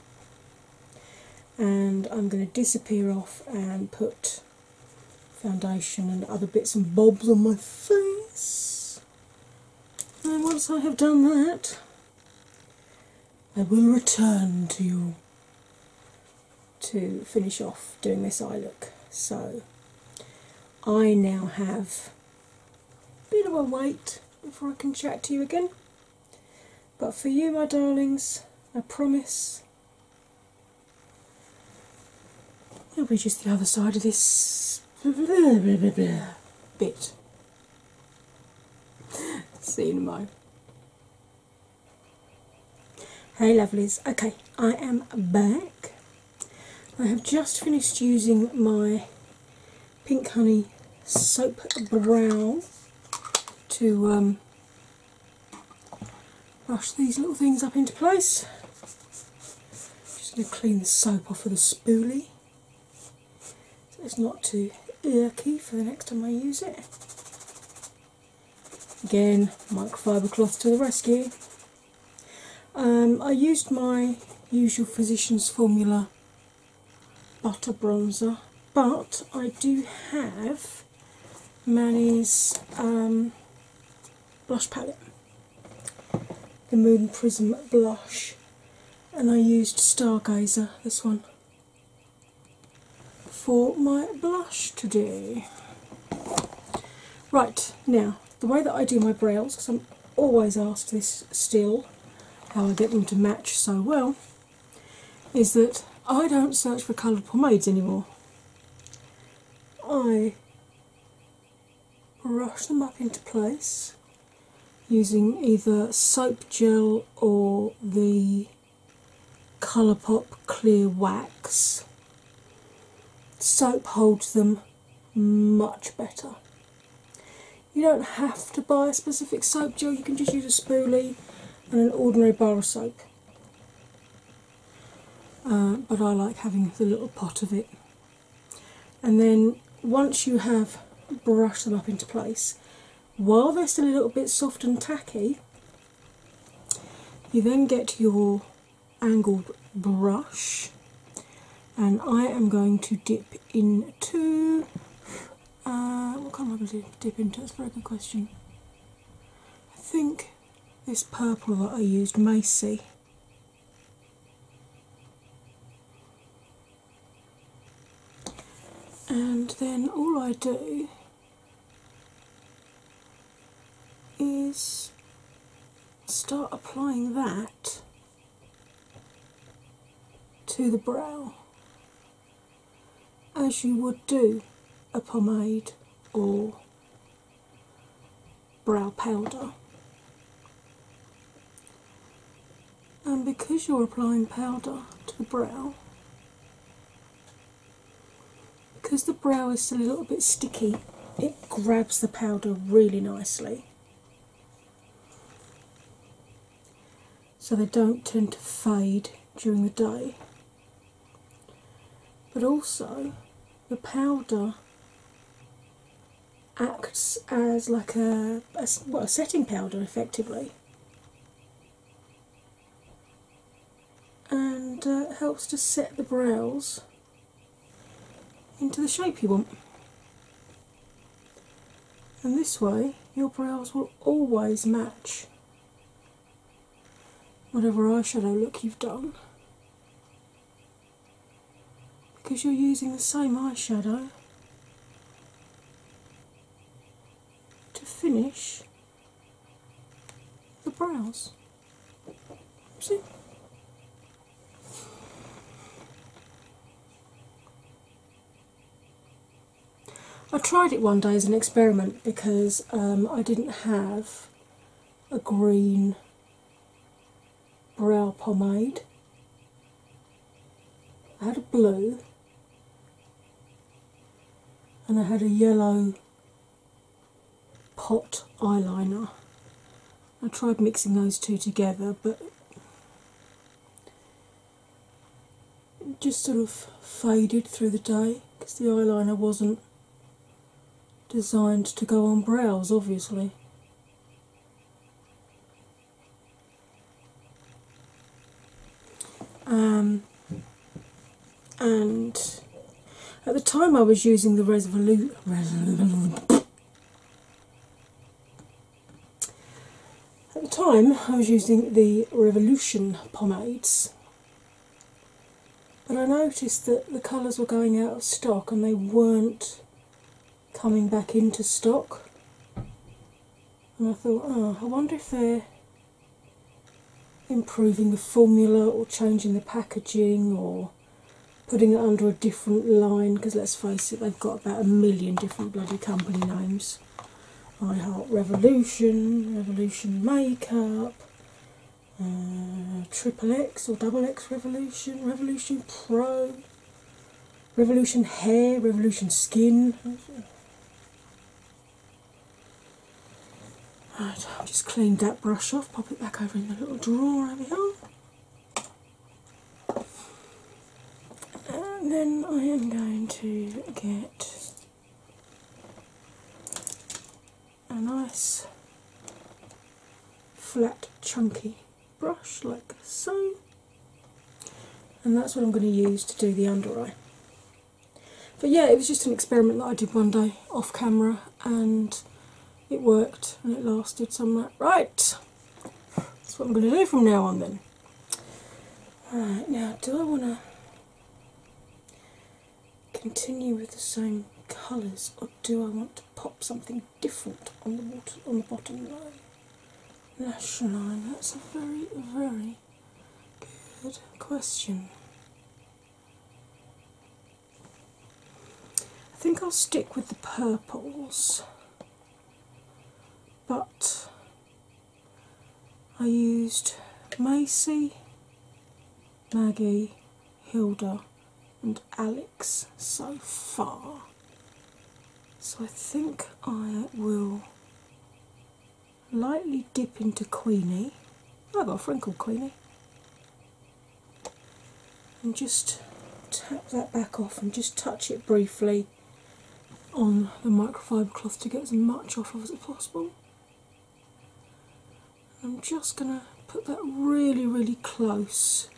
Speaker 1: and I'm going to disappear off and put foundation and other bits and bobs on my face. And once I have done that, I will return to you to finish off doing this eye look. So I now have a bit of a wait before I can chat to you again. But for you, my darlings, I promise it'll be just the other side of this bit. See you in a moment. Hey lovelies, okay, I am back. I have just finished using my Pink Honey Soap Brow to um, brush these little things up into place. Just going to clean the soap off with of a spoolie so it's not too irky for the next time I use it. Again, microfiber cloth to the rescue. Um, I used my usual physician's formula butter bronzer, but I do have Manny's um, blush palette, the Moon Prism blush, and I used Stargazer, this one, for my blush today. Right, now the way that I do my brows, because I'm always asked this still, how I get them to match so well, is that I don't search for coloured pomades anymore. I brush them up into place using either soap gel or the Colourpop clear wax. Soap holds them much better. You don't have to buy a specific soap gel, you can just use a spoolie and an ordinary bar of soap. Uh, but I like having the little pot of it. And then once you have brushed them up into place, while they're still a little bit soft and tacky, you then get your angled brush, and I am going to dip into uh, what can I going to dip into? That's a very good question. I think this purple that I used, Macy. And then all I do is start applying that to the brow as you would do a pomade or brow powder. And because you're applying powder to the brow, because the brow is still a little bit sticky, it grabs the powder really nicely so they don't tend to fade during the day. But also, the powder acts as like a, well, a setting powder effectively and uh, helps to set the brows into the shape you want and this way your brows will always match whatever eyeshadow look you've done because you're using the same eyeshadow to finish the brows. See? I tried it one day as an experiment because um, I didn't have a green brow pomade. I had a blue and I had a yellow pot eyeliner. I tried mixing those two together, but just sort of faded through the day because the eyeliner wasn't designed to go on brows, obviously. Um, and at the time I was using the Resolute, at the time, I was using the Revolution pomades, but I noticed that the colours were going out of stock and they weren't coming back into stock. And I thought, oh, I wonder if they're improving the formula or changing the packaging or putting it under a different line because let's face it, they've got about a million different bloody company names. I Heart Revolution, Revolution Makeup, uh, Triple X or Double X Revolution, Revolution Pro, Revolution Hair, Revolution Skin. Right, I've just cleaned that brush off, pop it back over in the little drawer over here. And then I am going to get a nice flat chunky brush like so and that's what I'm going to use to do the under eye. But yeah, it was just an experiment that I did one day off camera and it worked and it lasted somewhat. Right, that's what I'm going to do from now on then. Alright, now do I want to continue with the same colours or do I want to pop something different on the bottom line? Lash line, that's a very, very good question. I think I'll stick with the purples, but I used Macy, Maggie, Hilda, and Alex so far. So I think I will lightly dip into Queenie. I've got a frinkle Queenie. And just tap that back off and just touch it briefly on the microfiber cloth to get as much off of as possible. I'm just going to put that really, really close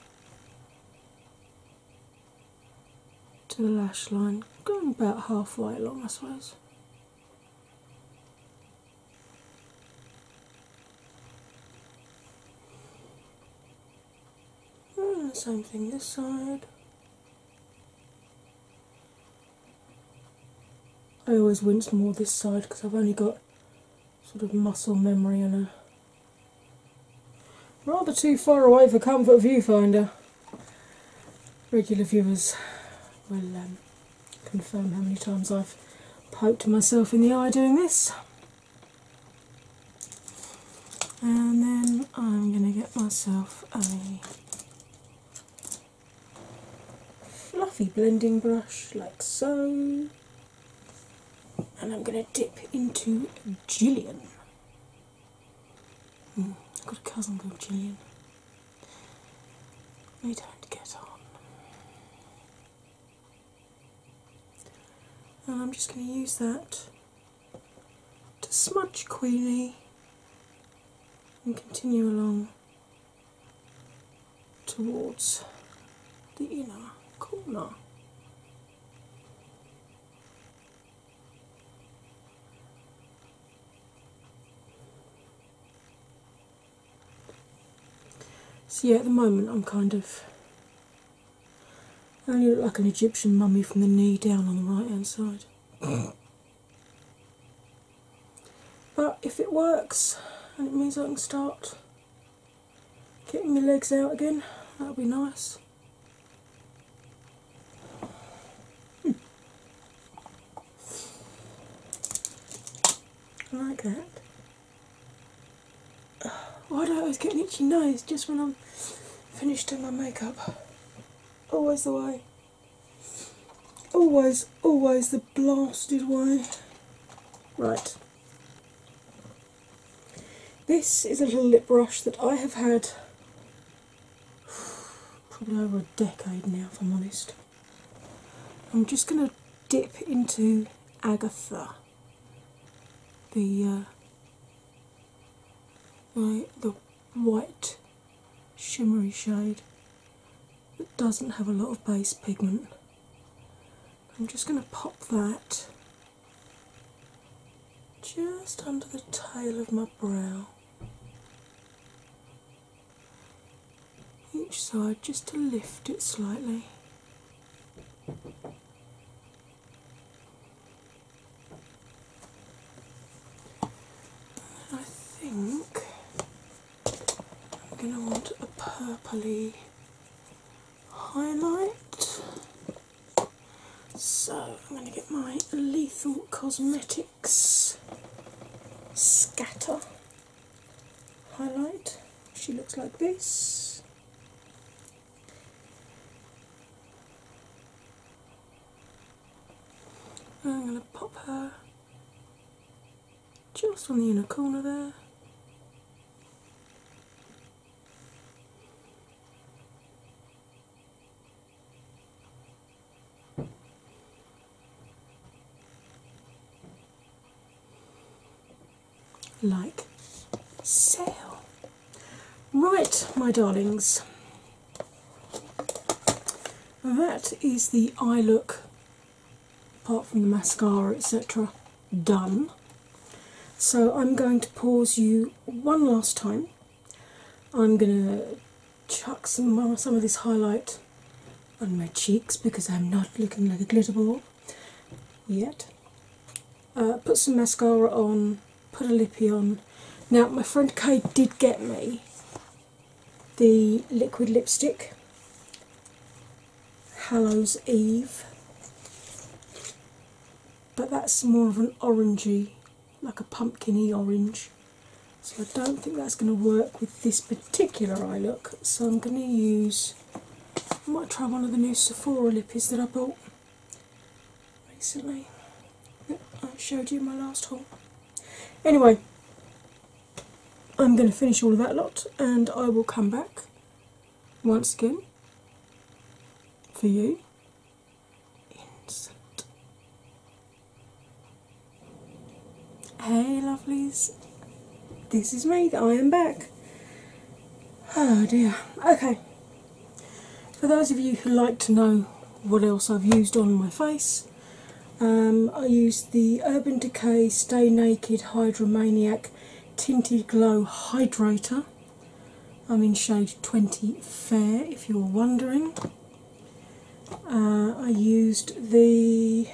Speaker 1: to the lash line, going about halfway along, I suppose. Hmm, same thing this side. I always wince more this side because I've only got sort of muscle memory and a rather too far away for comfort viewfinder. Regular viewers will um, confirm how many times I've poked myself in the eye doing this. And then I'm going to get myself a fluffy blending brush like so. And I'm going to dip into Jillian. I've got a cousin called Jillian. We don't get on. And I'm just going to use that to smudge Queenie and continue along towards the inner corner. So yeah, at the moment I'm kind of only look like an Egyptian mummy from the knee down on the right hand side. But if it works and it means I can start getting my legs out again, that'll be nice. I hmm. like that. Why do I always get itchy nose just when I'm finished doing my makeup? Always the way. Always, always the blasted way. Right. This is a little lip brush that I have had probably over a decade now, if I'm honest. I'm just going to dip into Agatha, the uh, my white shimmery shade that doesn't have a lot of base pigment. I'm just going to pop that just under the tail of my brow. Each side just to lift it slightly. I think I'm going to want a purpley highlight. So I'm going to get my Lethal Cosmetics Scatter highlight. She looks like this. I'm going to pop her just on the inner corner there. like sail. Right, my darlings, that is the eye look, apart from the mascara, etc., done. So I'm going to pause you one last time. I'm going to chuck some, some of this highlight on my cheeks because I'm not looking like a glitter ball yet. Uh, put some mascara on, put a lippy on. Now, my friend Kate did get me the liquid lipstick Hallows Eve, but that's more of an orangey, like a pumpkiny orange. So I don't think that's going to work with this particular eye look. So I'm going to use. I might try one of the new Sephora lippies that I bought recently. that I showed you in my last haul. Anyway, I'm going to finish all of that lot and I will come back once again for you. Hey, lovelies, this is me. I am back. Oh dear. Okay. For those of you who like to know what else I've used on my face, um, I used the Urban Decay Stay Naked Hydromaniac Tinted Glow Hydrator. I'm in shade 20 Fair, if you're wondering. Uh, I used the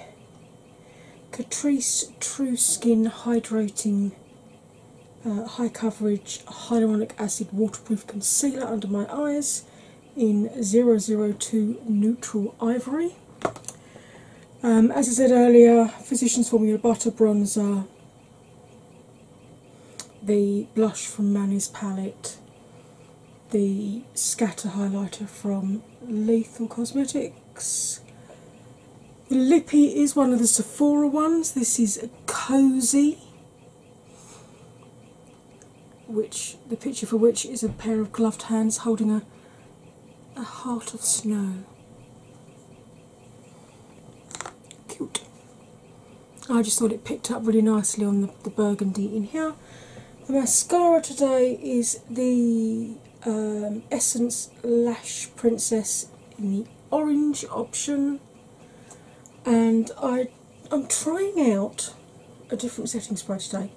Speaker 1: Catrice True Skin Hydrating uh, High Coverage Hyaluronic Acid Waterproof Concealer under my eyes in 002 Neutral Ivory. Um, as I said earlier, Physicians Formula Butter Bronzer, the blush from Manny's Palette, the Scatter Highlighter from Lethal Cosmetics. The lippy is one of the Sephora ones. This is Cozy which the picture for which is a pair of gloved hands holding a a heart of snow. Cute. I just thought it picked up really nicely on the, the burgundy in here. The mascara today is the um, Essence Lash Princess in the orange option, and I I'm trying out a different setting spray today.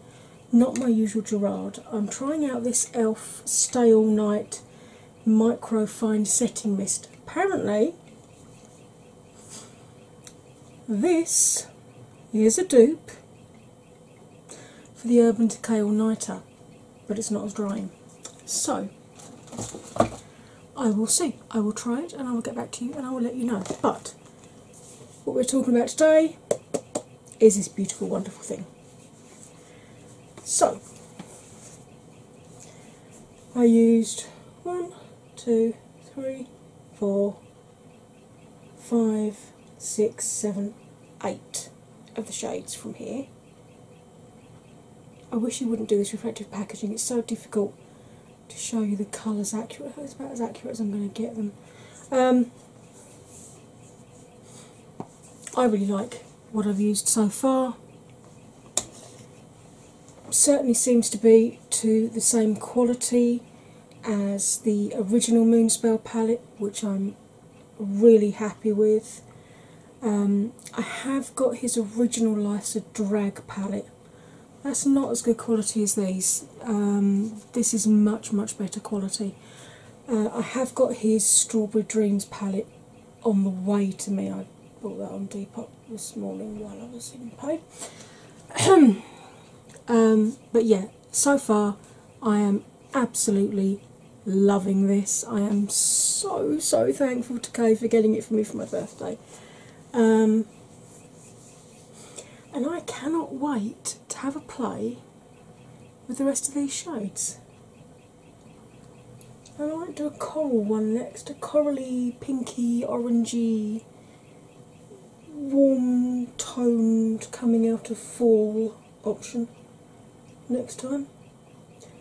Speaker 1: Not my usual Gerard. I'm trying out this e.l.f. Stay All Night Micro Fine Setting Mist. Apparently, this is a dupe for the Urban Decay All Nighter, but it's not as drying. So, I will see. I will try it and I will get back to you and I will let you know. But what we're talking about today is this beautiful, wonderful thing. So, I used one, two, three, four, five, six, seven, eight of the shades from here. I wish you wouldn't do this reflective packaging, it's so difficult to show you the colours accurate. It's about as accurate as I'm going to get them. Um, I really like what I've used so far. Certainly seems to be to the same quality as the original Moonspell palette, which I'm really happy with. Um, I have got his original Life's a Drag palette. That's not as good quality as these. Um, this is much much better quality. Uh, I have got his Strawberry Dreams palette on the way to me. I bought that on Depop this morning while I was in pain. um, but yeah, so far I am absolutely loving this. I am so so thankful to Kay for getting it for me for my birthday. Um, and I cannot wait to have a play with the rest of these shades. And I might do a coral one next, a corally, pinky, orangey, warm toned coming out of fall option next time.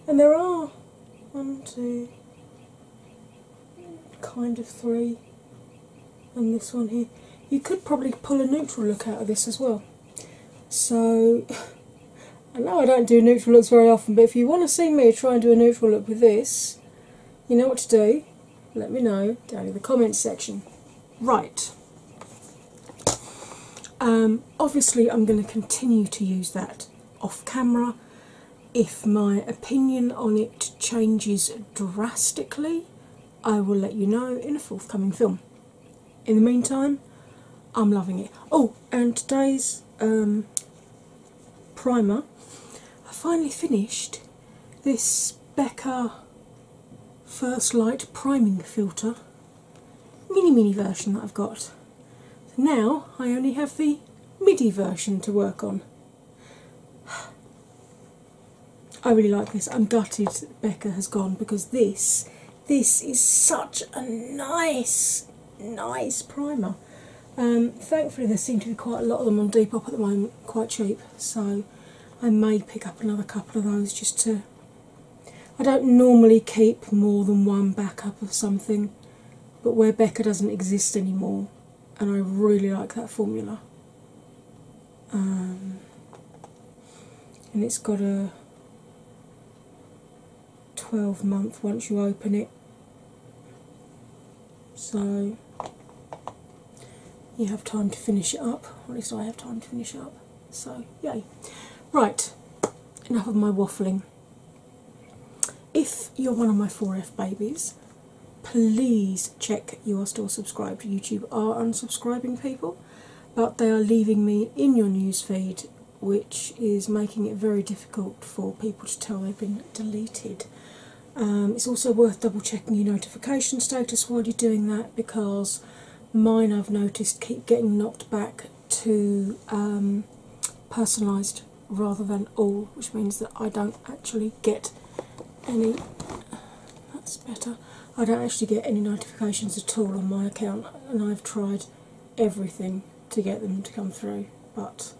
Speaker 1: And there are one, two, kind of three, and this one here. You could probably pull a neutral look out of this as well. So, I know I don't do neutral looks very often, but if you want to see me try and do a neutral look with this, you know what to do. Let me know down in the comments section. Right. Um, obviously, I'm going to continue to use that off camera. If my opinion on it changes drastically, I will let you know in a forthcoming film. In the meantime, I'm loving it. Oh, and today's um, primer, I finally finished this Becca First Light Priming Filter mini mini version that I've got. So now I only have the MIDI version to work on. I really like this. I'm gutted Becca has gone because this this is such a nice, nice primer. Um, thankfully, there seem to be quite a lot of them on Depop at the moment, quite cheap. So I may pick up another couple of those just to. I don't normally keep more than one backup of something, but where Becca doesn't exist anymore, and I really like that formula, um, and it's got a 12 month once you open it. So you have time to finish it up, or at least I have time to finish up. So, yay. Right, enough of my waffling. If you're one of my 4F babies, please check you are still subscribed. YouTube are unsubscribing people but they are leaving me in your newsfeed, which is making it very difficult for people to tell they've been deleted. Um, it's also worth double checking your notification status while you're doing that because mine I've noticed keep getting knocked back to um, personalised rather than all, which means that I don't actually get any that's better. I don't actually get any notifications at all on my account, and I've tried everything to get them to come through, but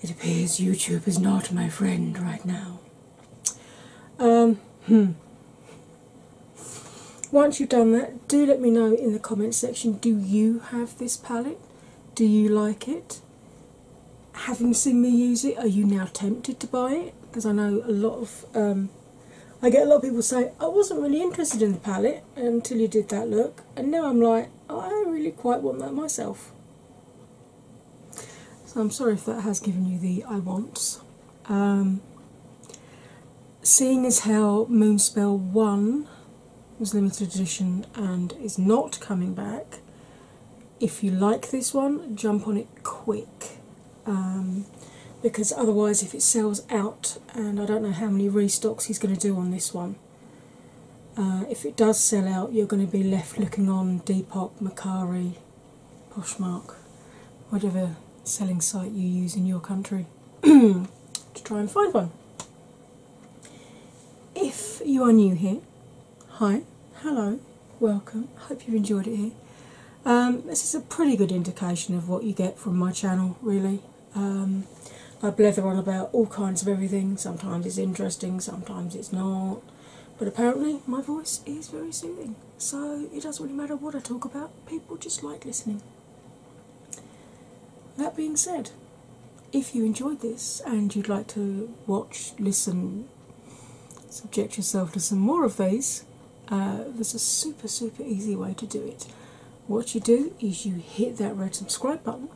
Speaker 1: it appears YouTube is not my friend right now. Um, hmm. Once you've done that, do let me know in the comments section do you have this palette? Do you like it? Having seen me use it, are you now tempted to buy it because I know a lot of um, I get a lot of people say I wasn't really interested in the palette until you did that look, and now I'm like I really quite want that myself. So I'm sorry if that has given you the I want. Um, seeing as how Moonspell One was limited edition and is not coming back. If you like this one, jump on it quick. Um, because otherwise, if it sells out, and I don't know how many restocks he's going to do on this one, uh, if it does sell out, you're going to be left looking on Depop, Macari, Poshmark, whatever selling site you use in your country to try and find one. If you are new here, hi, hello, welcome. hope you've enjoyed it here. Um, this is a pretty good indication of what you get from my channel, really. Um, I blether on about all kinds of everything. Sometimes it's interesting, sometimes it's not. But apparently, my voice is very soothing, so it doesn't really matter what I talk about, people just like listening. That being said, if you enjoyed this and you'd like to watch, listen, subject yourself to some more of these, uh, there's a super super easy way to do it. What you do is you hit that red subscribe button,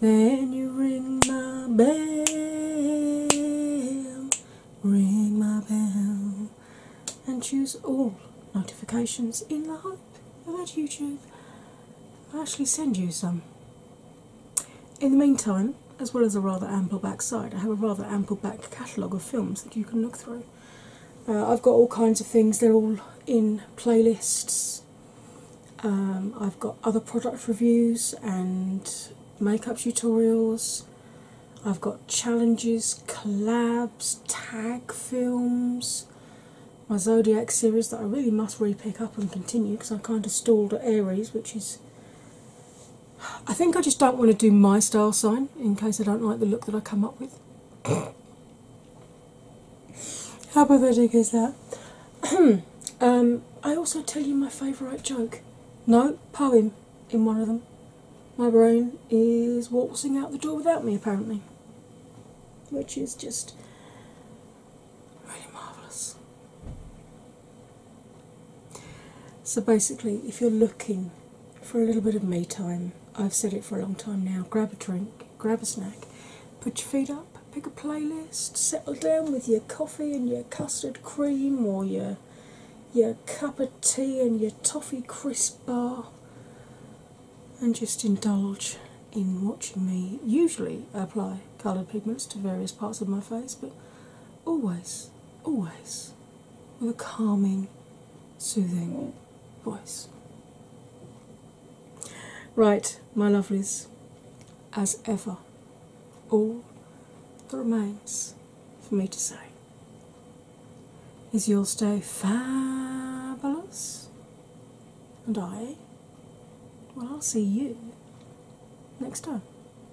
Speaker 1: then you ring my bell, ring my bell, and choose all notifications in the hope that YouTube actually send you some. In the meantime, as well as a rather ample backside, I have a rather ample back catalogue of films that you can look through. Uh, I've got all kinds of things, they're all in playlists. Um, I've got other product reviews and makeup tutorials. I've got challenges, collabs, tag films, my Zodiac series that I really must re pick up and continue because I kind of stalled at Aries, which is I think I just don't want to do my style sign in case I don't like the look that I come up with. How pathetic is that? um, I also tell you my favourite joke. No, poem in one of them. My brain is waltzing out the door without me, apparently, which is just really marvellous. So basically, if you're looking for a little bit of me time, I've said it for a long time now grab a drink, grab a snack, put your feet up, pick a playlist, settle down with your coffee and your custard cream or your your cup of tea and your toffee crisp bar and just indulge in watching me usually I apply coloured pigments to various parts of my face but always always with a calming, soothing voice. Right, my lovelies, as ever, all that remains for me to say is your stay fabulous, and I, well, I'll see you next time.